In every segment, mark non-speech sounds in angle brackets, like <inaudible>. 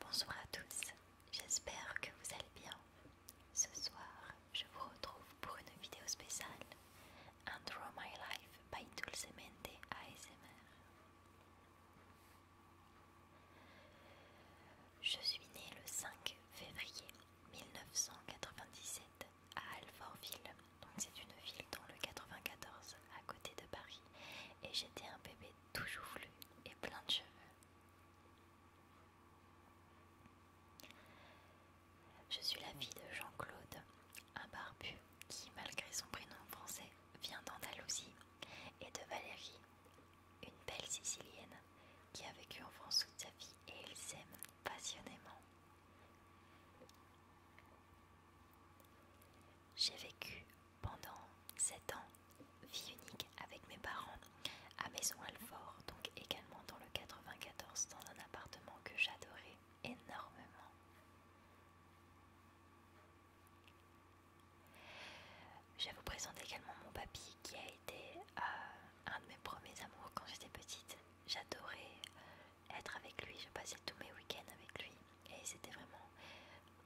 Bonsoir à tous, j'espère que vous allez bien. Ce soir, je vous retrouve pour une vidéo spéciale un Draw My Life by Dulcemente ASMR. Je suis née le 5 février 1997 à Alfortville, c'est une ville dans le 94 à côté de Paris, et j'étais un bébé ...toujours joufflu et plein de cheveux. Je suis la fille de Jean-Claude, un barbu qui, malgré son prénom français, vient d'Andalousie, et de Valérie, une belle Sicilienne qui a vécu en France toute sa vie et ils s'aime passionnément. J'ai vécu pendant 7 ans, vie unique avec mes parents à Maison Alfort, donc également dans le 94, dans un appartement que j'adorais énormément. Je vous présente également mon papy qui a été euh, un de mes premiers amours quand j'étais petite. J'adorais être avec lui, je passais tous mes week-ends avec lui et c'était vraiment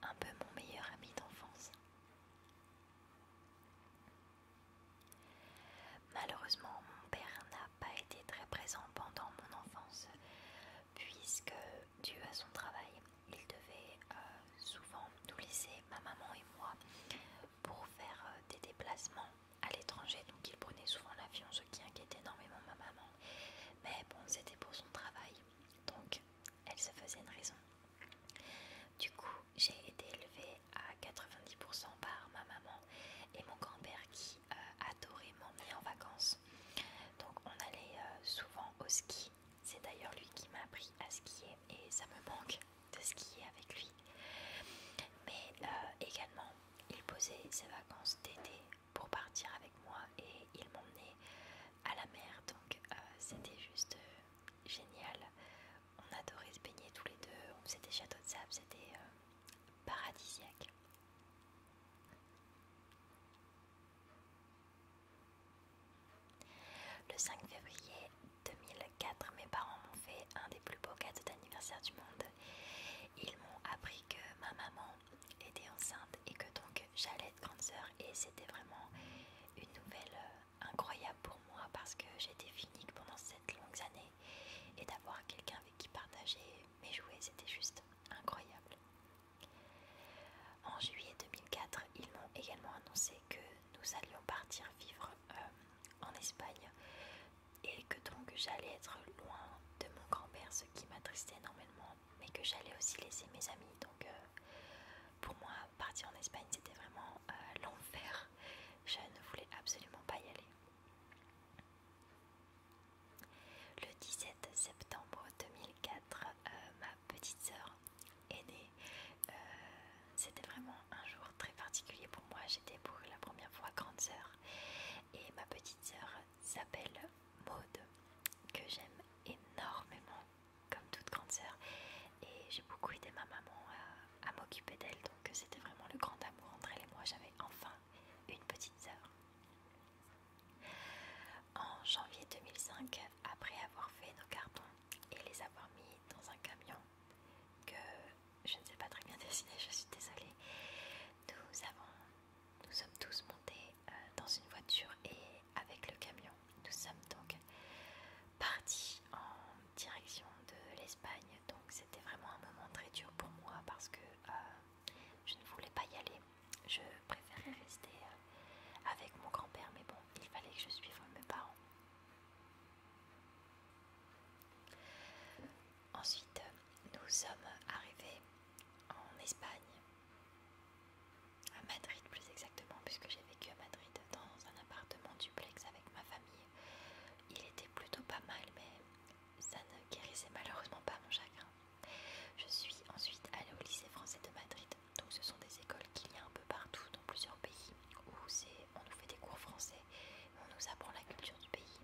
un peu mon meilleur ami d'enfance. Malheureusement, mon père n'a pas été très présent pendant mon enfance, puisque dû à son travail, il devait euh, souvent nous laisser, ma maman et moi, pour faire euh, des déplacements à l'étranger. Donc il prenait souvent l'avion, ce qui inquiétait énormément ma maman. Mais bon, c'était pour son travail. Donc elle se faisait une raison. Du coup, j'ai été élevée à 90% par ma maman et mon grand-père qui euh, adorait m'emmener en vacances. Donc on allait euh, souvent au ski. C'est d'ailleurs lui qui m'a appris à skier et ça me manque de skier avec lui. Mais euh, également, il posait ses vacances d'été pour partir avec moi et ils m'ont m'emmenait à la mer donc euh, c'était juste euh, génial. On adorait se baigner tous les deux, on château de sable, c'était euh, paradisiaque. Le 5 février 2004, mes parents m'ont fait un des plus beaux cadeaux d'anniversaire du monde. Ils m'ont appris que ma maman était enceinte et que donc j'allais être grande sœur et c'était vraiment une nouvelle euh, incroyable pour moi parce que j'étais finique pendant cette longues années et d'avoir quelqu'un avec qui partager mes jouets, c'était juste incroyable. En juillet 2004, ils m'ont également annoncé que nous allions partir vivre euh, en Espagne et que donc j'allais être loin de mon grand-père, ce qui m'attristait énormément mais que j'allais aussi laisser mes amis. Donc euh, pour moi, partir en Espagne, c'était vraiment euh, l'enfer. Je ne voulais absolument pas y aller. Le 17 septembre 2004, euh, ma petite sœur est née c'était vraiment un jour très particulier pour moi. J'étais pour la première fois grande sœur et ma petite sœur s'appelle Maude, que j'aime énormément, comme toute grande sœur. Et j'ai beaucoup aidé ma maman à, m'occuper d'elle, donc c'était vraiment le grand amour entre elle et moi. J'avais enfin une petite soeur En janvier 2005, après avoir fait nos cartons et les avoir mis dans un camion que je ne sais pas très bien <laughs> dessiner, je suis désolée, nous avons nous sommes tous montés euh, dans une voiture et avec le camion. Nous sommes donc partis en direction de l'Espagne. Donc c'était vraiment un moment très dur pour moi parce que euh, je ne voulais pas y aller. Je préférais rester euh, avec mon grand-père, mais bon, il fallait que je suive mes parents. Ensuite, nous sommes arrivés en Espagne à Madrid plus exactement, puisque j'ai vécu à Madrid dans un appartement duplex avec ma famille. Il était plutôt pas mal, mais ça ne guérissait malheureusement pas mon chagrin. Je suis ensuite allée au lycée français de Madrid, donc ce sont des écoles qu'il y a un peu partout dans plusieurs pays où on nous fait des cours français, on nous apprend la culture du pays.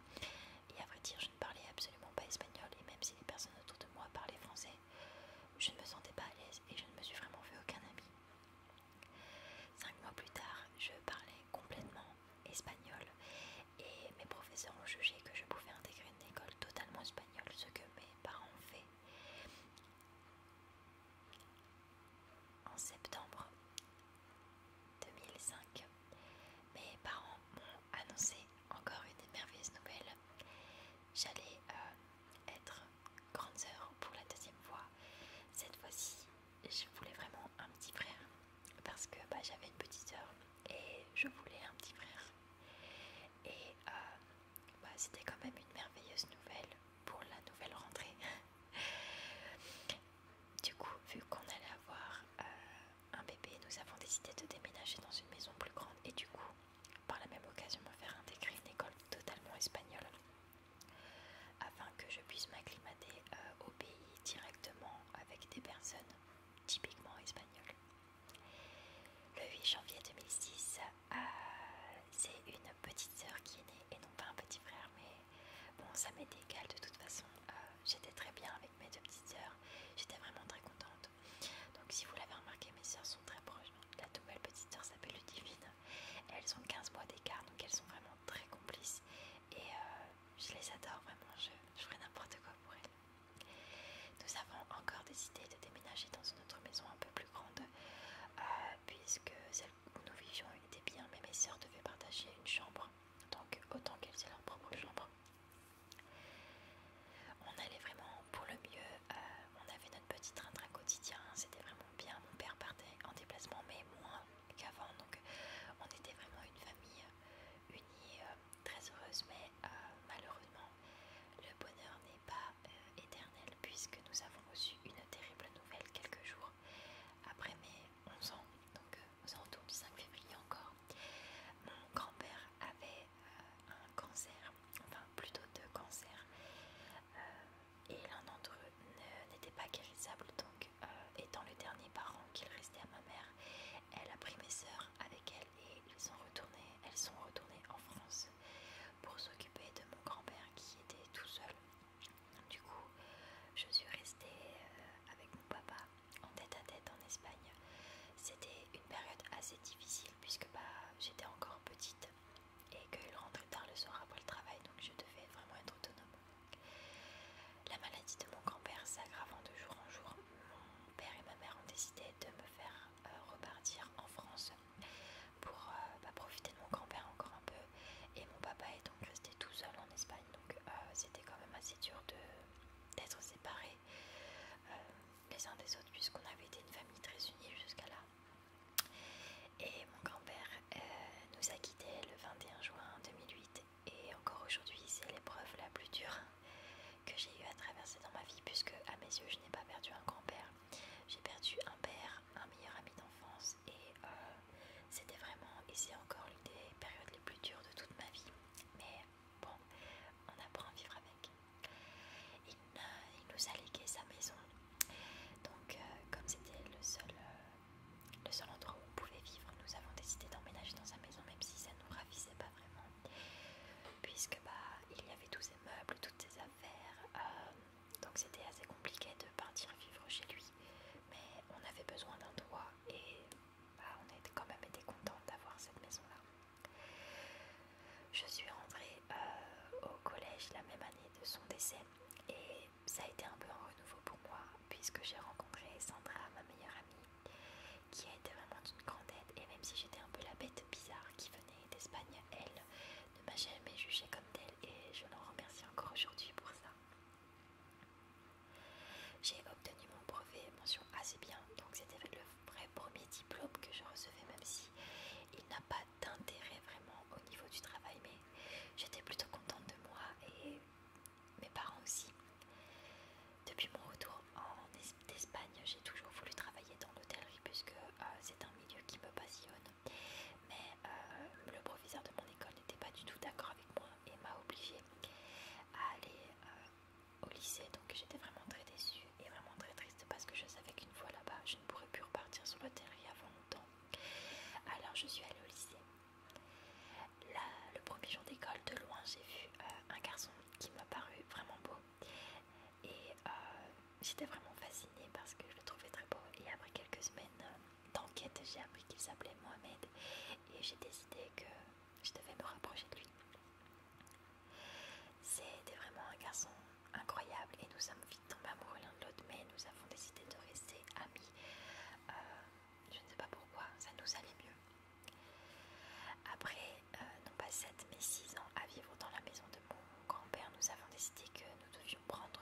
Et à vrai dire, ne parlais absolument pas espagnol et même si les personnes autour de moi parlaient français, je ne me sentais pas à l'aise et je ne me suis vraiment fait aucun ami. Cinq mois plus tard, je parlais complètement espagnol et mes professeurs ont jugé que je pouvais intégrer une école totalement espagnole, ce que mes parents ont fait. En septembre 2005, mes parents annoncer encore une merveilleuse nouvelle. J'allais euh, être grande sœur pour la deuxième fois. Cette fois-ci, je voulais vraiment un petit frère parce que bah, j'avais une petite sœur et je voulais un petit frère. Et euh, bah, c'était quand même une merveilleuse nouvelle pour la nouvelle rentrée. <laughs> du coup, vu qu'on allait avoir euh, un bébé, nous avons décidé de déménager dans une maison plus grande et du coup, par la même occasion, me faire intégrer une école totalement espagnole afin que je puisse m'acclimater euh, au pays directement avec des personnes typiquement espagnoles. Le 8 janvier 2006, euh, c'est une petite soeur qui est née et non pas un petit frère, mais bon, ça m'est égal de toute façon. Euh, j'étais très bien avec mes deux petites sœurs. J'étais vraiment très contente. Donc si vous l'avez remarqué, mes sœurs sont très proches. La nouvelle petite sœur s'appelle Ludivine. Elles ont 15 mois d'écart, donc elles sont vraiment très complices. Et euh, je les adore vraiment, je, je n'importe quoi pour elles. Nous avons encore décidé de déménager dans une autre maison un peu plus grande, euh, puisque celle où nous vivions était bien, mais mes sœurs devaient partager une chambre. Donc autant qu'elles aient leur propre chambre. On allait vraiment pour le mieux, euh, on avait notre petit train-train quotidien, c'était vraiment bien, mon père partait en déplacement mais moins qu'avant, donc euh, on était vraiment une famille euh, unie, très heureuse, mais malheureusement le bonheur n'est pas éternel puisque nous avons reçu une terrible nouvelle quelques jours après mes 11 ans, donc aux alentours du 5 février encore, mon grand-père avait euh, un cancer, enfin plutôt deux cancers, euh, et l'un d'entre eux n'était pas guérissable, donc euh, étant le dernier parent qu'il restait à ma mère, elle a pris mes sœurs avec elle et ils sont retournés, elles sont retournées en France pour s'occuper de mon grand-père qui était tout seul. Du coup, je suis restée avec mon papa en tête à tête en Espagne. C'était une période assez difficile puisque bah, j'étais encore petite et qu'il rentrait tard le soir après le travail, donc je devais vraiment être autonome. La maladie de mon grand-père s'aggravant de jour en jour, mon père et ma mère ont décidé de me faire euh, repartir en France pour euh, bah, profiter de mon grand-père encore un peu. Et mon papa est donc resté tout seul en Espagne, donc euh, c'était quand même assez dur de d'être séparés euh, les uns des autres puisqu'on avait été une famille très unie jusqu'à là. Et mon grand-père euh, nous a quittés le 21 juin 2008 et encore aujourd'hui c'est l'épreuve la plus dure que j'ai eu à traverser dans ma vie puisque à mes yeux je n'ai pas perdu un grand-père. J'ai perdu un père, un meilleur ami d'enfance et euh, c'était vraiment et c'est encore l'une des périodes les plus dures de toute ma vie. Mais bon, on apprend à vivre avec. Il, nous a légué sa maison. Donc, euh, comme c'était le seul, euh, le seul endroit où on pouvait vivre, nous avons décidé d'emménager dans sa maison, même si ça ne nous ravissait pas vraiment. Puisque, bah, il y avait tous ses meubles, toutes ses affaires. Euh, donc, c'était assez compliqué de partir vivre chez lui. Mais on avait besoin d'un toit et bah, on a quand même été content d'avoir cette maison-là. Je suis rentrée euh, au collège la même année de son décès et ça a été un peu un renouveau pour moi puisque j'ai rencontré Sandra, ma meilleure amie, qui a été vraiment d'une grande aide et même si j'étais un peu la bête bizarre qui venait d'Espagne, elle ne m'a jamais jugée comme telle et je l'en remercie encore aujourd'hui pour ça. J'ai obtenu mon brevet, mention assez bien, donc c'était le vrai premier diplôme que je recevais, même si il n'a pas d'intérêt vraiment au niveau du travail, mais j'étais plutôt contente de moi et mes parents aussi. Depuis mon retour en Espagne, j'ai toujours voulu travailler dans l'hôtellerie puisque euh, c'est un milieu qui me passionne. Mais euh, le professeur de mon école n'était pas du tout d'accord avec moi et m'a obligé à aller euh, au lycée. Donc j'étais vraiment très déçue et vraiment très triste parce que je savais qu'une fois là-bas, je ne pourrais plus repartir sur le terrain avant longtemps. Alors je suis allée au lycée. le premier jour d'école, de loin, j'ai vu euh, un garçon qui m'a paru vraiment beau. Et euh, j'étais vraiment fascinée parce que je le trouvais très beau. Et après quelques semaines d'enquête, j'ai appris qu'il s'appelait Mohamed et j'ai décidé que je devais me rapprocher de lui. C'était vraiment un garçon incroyable et nous sommes vite tombés amoureux l'un de l'autre, mais nous avons décidé de rester amis. Euh, je ne sais pas pourquoi, ça nous allait mieux. Après, euh, non pas 7 mais 6 ans à vivre dans la maison de mon grand-père, nous avons décidé que nous devions prendre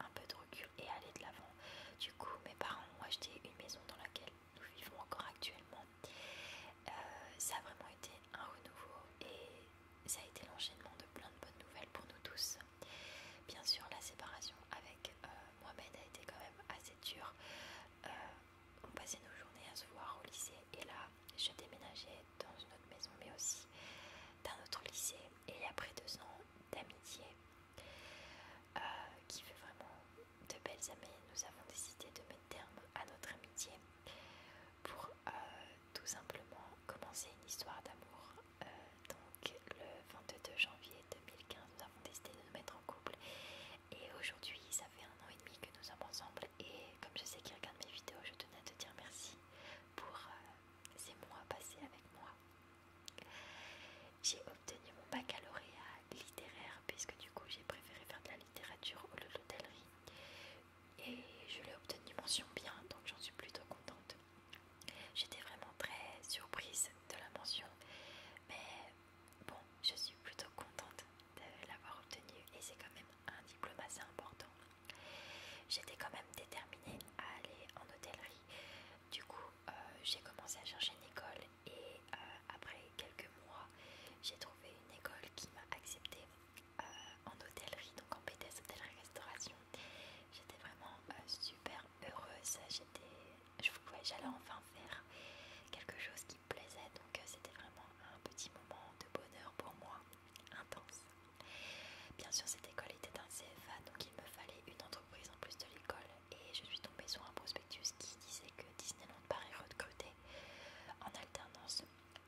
un peu de recul et aller de l'avant. Du coup, mes parents ont acheté une maison dans laquelle nous vivons encore actuellement. Euh, ça a vraiment été un renouveau et ça a été l'enchaînement de plein de bonnes nouvelles pour nous tous. Bien sûr, la séparation avec euh, Mohamed a été quand même assez dure. Euh, on passait nos journées à se voir au lycée et là, je déménageais dans une autre maison mais aussi d'un autre lycée et après deux ans d'amitié euh, qui fait vraiment de belles amies. Nous avons décidé de mettre terme à notre amitié pour euh, tout simplement commencer une histoire d'amour. Euh, donc le 22 janvier 2015, nous avons décidé de nous mettre en couple. Et aujourd'hui, ça fait un an et demi que nous sommes ensemble. Et comme je sais qui regarde mes vidéos, je tenais à te dire merci pour ces mois passés avec moi. J'ai obtenu mon baccalauréat littéraire puisque du coup j'ai préféré faire de la littérature au lieu de l'hôtellerie et je l'ai obtenu mention bien donc j'en suis plutôt contente. J'étais vraiment très surprise de la mention mais bon je suis plutôt contente de l'avoir obtenue et c'est quand même un diplôme assez important. J'étais quand même déterminée à aller en hôtellerie du coup, euh, j'ai commencé à chercher une école et euh, après quelques mois, j'ai trouvé une école qui m'a acceptée euh, en hôtellerie, donc en BTS hôtellerie-restauration. J'étais vraiment super heureuse, j'allais enfin faire quelque chose qui me plaisait, donc c'était vraiment un petit moment de bonheur pour moi, intense. Bien sûr, cette école était un CFA, donc il me fallait une entreprise Présent en plus de l'école et je suis tombée sur un prospectus qui disait que Disneyland Paris recrutait en alternance.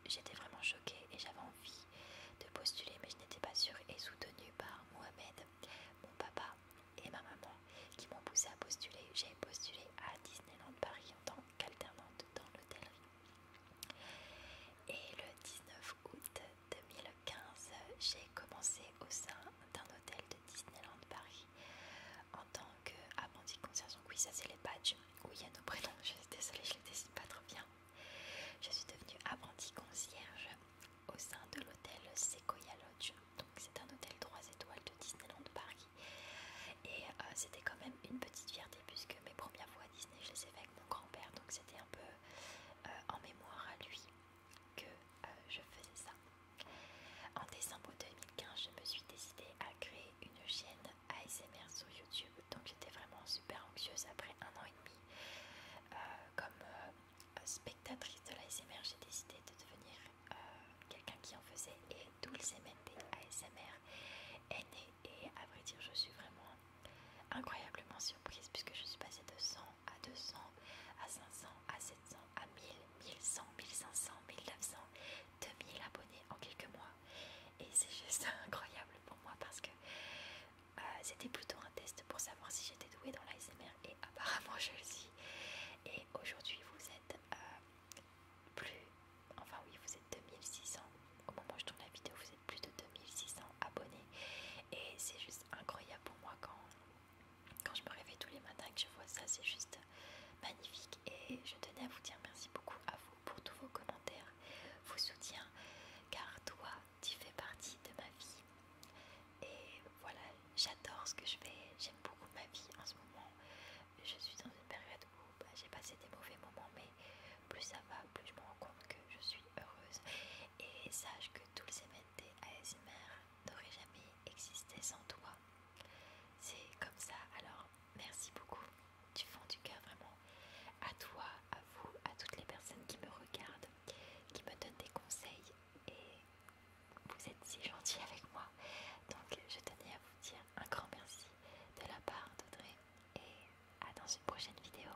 J'étais vraiment choquée et j'avais envie de postuler mais je n'étais pas sûre et soutenue par Mohamed, mon papa et ma maman qui m'ont poussée à postuler. J'ai postulé à Disneyland Paris en tant qu'alternante dans l'hôtellerie. Et le 19 août 2015, j'ai commencé au sein d'un hôtel de Disneyland Paris en tant qu'apprenti concierge. Donc oui, ça c'est les badges. Oui, il y a nos prénoms. Je suis désolée, je les dessine pas trop bien. Je suis devenue apprenti concierge au sein de l'hôtel Sequoia Lodge. Donc c'est un hôtel 3 étoiles de Disneyland Paris. Et euh, c'était quand même une petite fierté puisque mes premières fois à Disney, je les ai avec mon grand-père. Donc c'était un peu euh, en mémoire à lui que euh, je faisais ça. En décembre 2015, je me suis décidée à créer une chaîne ASMR sur YouTube. Donc j'étais vraiment super anxieuse après un an et demi. Euh, comme euh, spectatrice de l'ASMR, j'ai décidé de devenir quelqu'un qui en faisait. Et d'où le CMND ASMR est né. Et à vrai dire, je suis vraiment incroyablement surprise puisque je suis passée de 100 à 200, à 500, à 700, à 1000, 1100, 1500, 1900, 2000 abonnés en quelques mois. Et c'est juste <laughs> incroyable pour moi parce que euh, c'était plutôt un test pour savoir si j'étais douée dans l'ASMR et apparemment je le suis. Et aujourd'hui vous êtes euh, plus... Enfin oui, vous êtes 2600. Au moment où je tourne la vidéo, plus de 2600 abonnés et c'est juste incroyable pour moi quand, quand je me réveille tous les matins que je vois ça, c'est juste magnifique et je tenais à vous dire merci beaucoup à vous pour tous vos commentaires, vos soutiens car toi tu fais partie de ma vie et voilà j'adore ce que je fais, j'aime beaucoup ma vie en ce moment, je suis dans une période où bah, j'ai passé des mauvais moments mais plus ça va, plus je me rends compte que je suis heureuse et sache que les à ASMR n'aurait jamais existé sans toi. C'est comme ça, alors merci beaucoup du fond du cœur, vraiment. À toi, à vous, à toutes les personnes qui me regardent, qui me donnent des conseils et vous êtes si gentils avec moi. Donc je tenais à vous dire un grand merci de la part d'Audrey et à dans une prochaine vidéo.